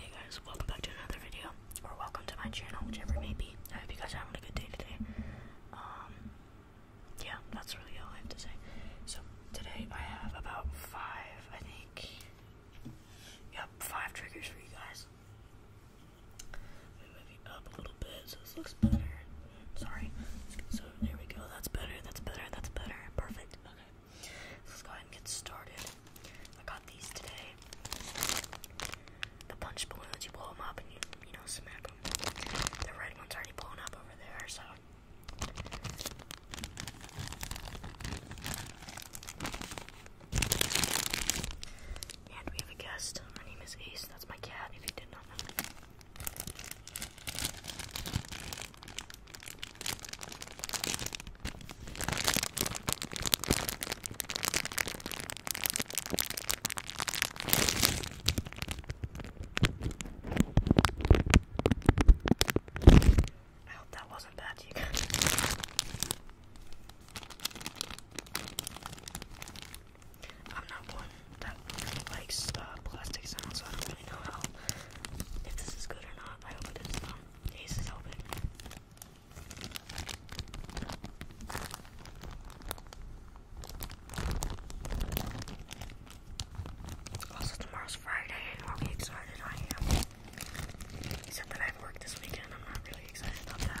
Hey guys, welcome back to another video, or welcome to my channel, whichever it may be. I hope you guys are having a good day today. Um, yeah, that's really all I have to say. So, today I have about five, I think, yep, five triggers for you guys. Let move you up a little bit so this looks better. Sorry. So, there we go. That's better, that's better, that's better. Perfect. Okay let's go ahead and get started. I got these today. The punch balloons, you blow them up and you, you know, smack them. The red one's already blown up over there, so. And we have a guest. Her name is Ace. That's my cat, if you did not know. I hope that wasn't bad, you I'm not one that likes uh, plastic sounds, so I don't really know how if this is good or not. I hope this um, case is open. Also, tomorrow's Friday, and i excited. I am. Except that I have work this weekend. I'm not really excited about that.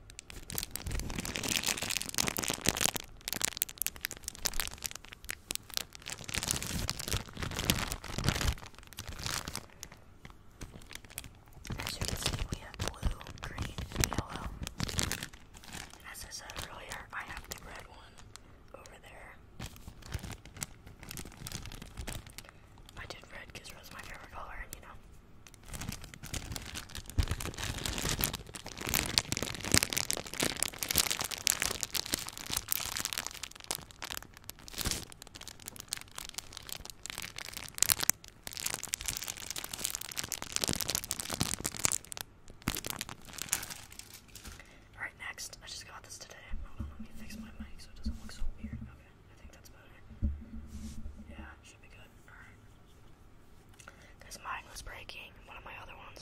As you can see, we have blue, green, yellow. As I said earlier, I have the red one over there. I did red because red's my favorite color, and you know. Alright, next. I just got this today. Hold on, let me fix my mic so it doesn't look so weird. Okay. I think that's better. Yeah, should be good. Alright. Because mine was breaking, one of my other ones.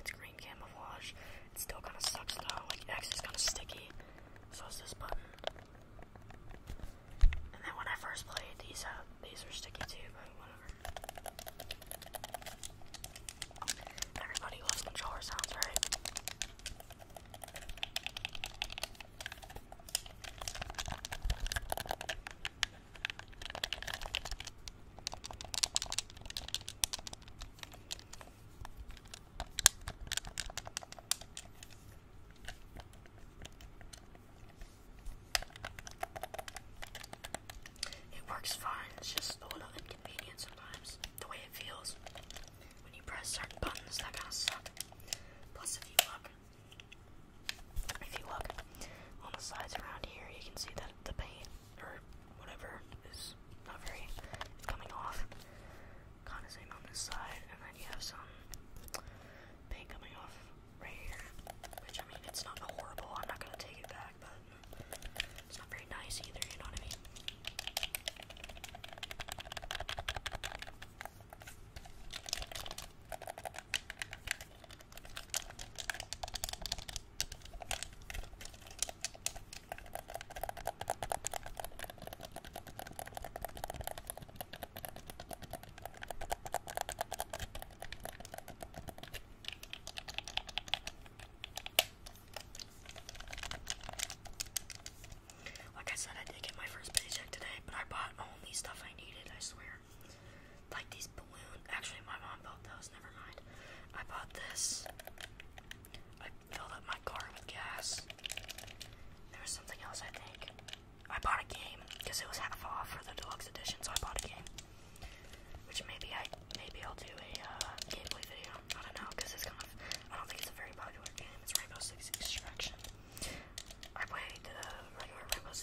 It's green camouflage. It still kind of sucks though. Like, X is kind of sticky. So is this button. And then when I first played, these, uh, these were sticky too, but whatever. Everybody loves controller sounds, right? It works fine, it's just a little inconvenient sometimes, the way it feels when you press certain buttons, that kind of sucks. Plus, if you look, if you look on the sides around here, you can see that the paint or whatever is not very coming off. Kind of same on this side, and then you have some paint coming off right here. Which I mean, it's not horrible. I'm not gonna take it back, but it's not very nice either, you know what I mean? Like I said, I did get my first paycheck today, but I bought only stuff I needed, I swear. Like these balloons. Actually, my mom bought those, never mind. I bought this. I filled up my car with gas. There was something else, I think. I bought a game because it was half off for the deluxe edition, so I bought a game. Which maybe I maybe I'll do a uh, gameplay video. I don't know because it's kind of I don't think it's a very popular game. It's Rainbow Six Extraction. Uh,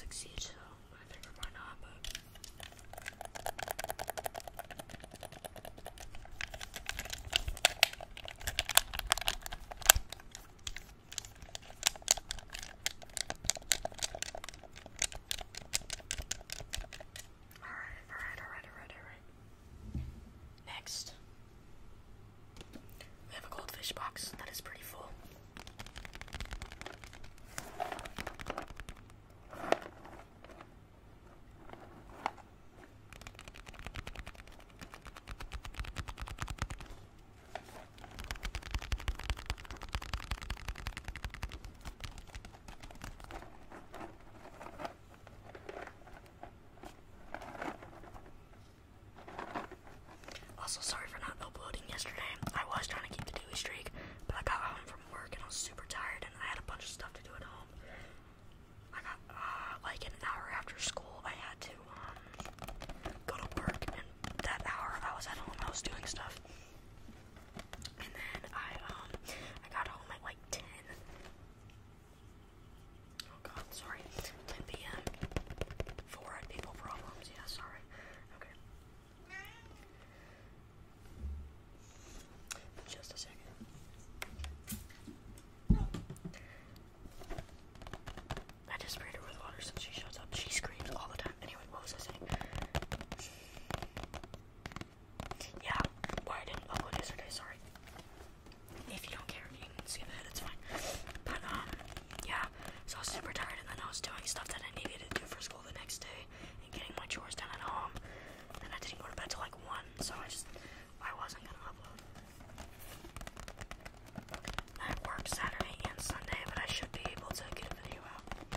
Siege, so I figured why not. Alright, alright, alright, alright, Next, we have a goldfish box that is pretty full. Also, sorry for not uploading yesterday. I was trying to keep the daily streak, but I got home from work and I was super tired, and I had a bunch of stuff to do at home. I got uh, like an hour after school. I had to um, go to work, and that hour I was at home, I was doing stuff. And then I um I got home at like ten. Oh god, sorry. 10 p.m. Four people problems, yeah, sorry. Okay. Just a second. I just sprayed her with water since she shuts up. She screams all the time. Anyway, what was I saying? Yeah, why I didn't upload yesterday, sorry. If you don't care, you can skip it, it's fine. But, um, yeah, so I was super tired, and then I was doing stuff that I needed to do for school the next day, and getting my chores done at home. And I didn't go to bed till like 1, so I just, I wasn't gonna upload. I work Saturday and Sunday, but I should be able to get a video out. That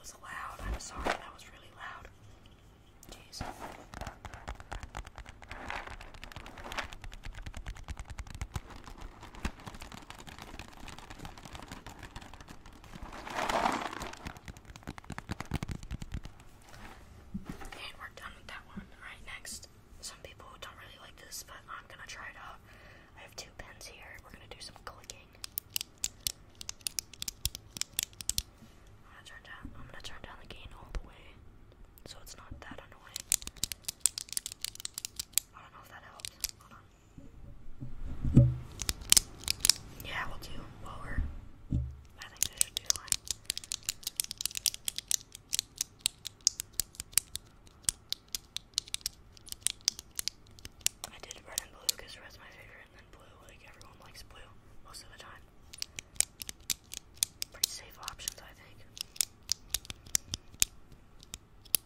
was loud. I'm sorry. That was really loud. Jeez. Okay, we're done with that one. Alright, next. Some people don't really like this, but I'm gonna try it out. I have two pens here. We're gonna do some clicking. I'm turn down I'm gonna turn down the gain all the way. So it's not that annoying. I don't know if that helps. Yeah, we'll do lower. I think I should do one. I did red and blue because red's my favorite, and blue, like everyone likes blue most of the time. Pretty safe options, I think.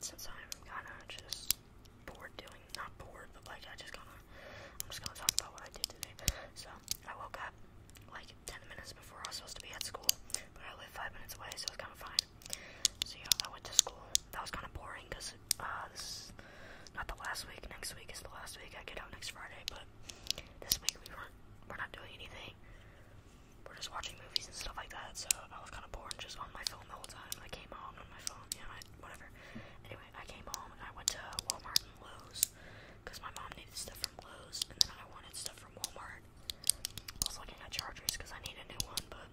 since I'm kind of just bored doing, not bored, but like I just kind of, I'm just gonna talk about what I did today. So I woke up like 10 minutes before I was supposed to be at school, but I live five minutes away, so it's kind of fine. So yeah, I went to school. That was kind of boring because uh, this is not the last week. Next week is the last week. I get out next Friday, but this week we weren't, we're not doing anything. We're just watching movies and stuff like that. So I was kind of bored, just on my phone the whole time. I came home on my phone on him, I, whatever. Anyway, I came home and I went to Walmart and Lowe's because my mom needed stuff from Lowe's and then I wanted stuff from Walmart. I was looking at chargers because I need a new one, but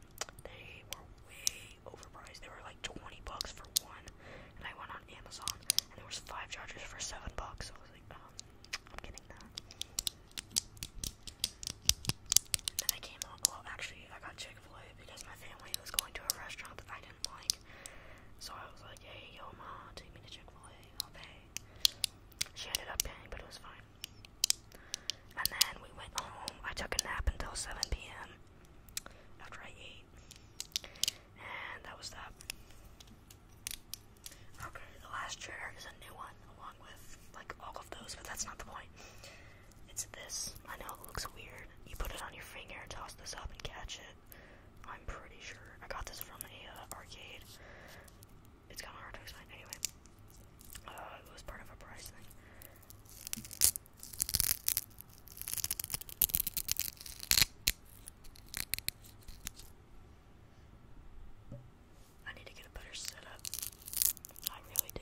they were way overpriced. They were like 20 bucks for one, and I went on Amazon and there was five chargers for seven bucks. So I was like, um, I'm getting that. And I came home, well, actually, I got Chick fil A because my family was going to a restaurant that I didn't like. So I was like, hey, yo, ma, take me to Chick fil A, I'll She ended up paying, but it was fine. And then we went home. I took a nap until 7 p.m. after I ate. And that was that. Okay, the last chair is a new one, along with like all of those, but that's not the point. It's this. I know it looks weird. You put it on your finger, toss this up, and catch it. I'm pretty sure. I got this from a uh, arcade. It's kind of hard to explain. Anyway, uh, it was part of a prize thing. I need to get a better setup. I really do.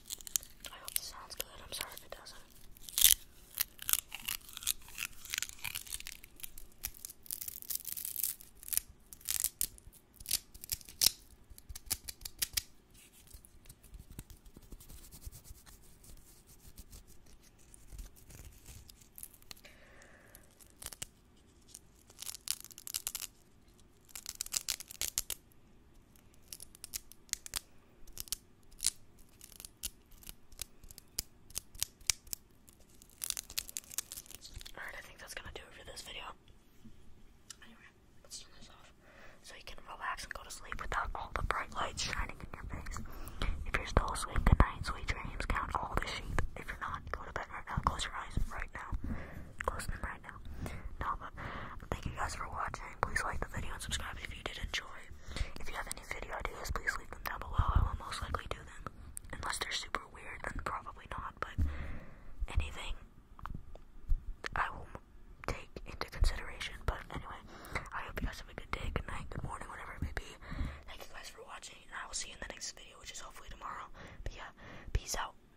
I hope this sounds good. I'm sorry if it doesn't. Alright, I think that's gonna do it for this video. Anyway, let's turn this off so you can relax and go to sleep without all the bright lights shining in your face. If you're still asleep, good night, sweet dreams, count all the sheep. If you're not, go to bed right now, close your eyes right now. Close them right now. No, but thank you guys for watching. Please like the video and subscribe if you did enjoy. If you have any video ideas, please leave them down below. I will most likely do them. Unless they're super weird, then probably not. But anything I will take into consideration. But anyway, I hope you guys have a good day, good night, good morning, whatever it may be. Thank you guys for watching, and I will see you in the next video, which is hopefully tomorrow. But yeah, peace out.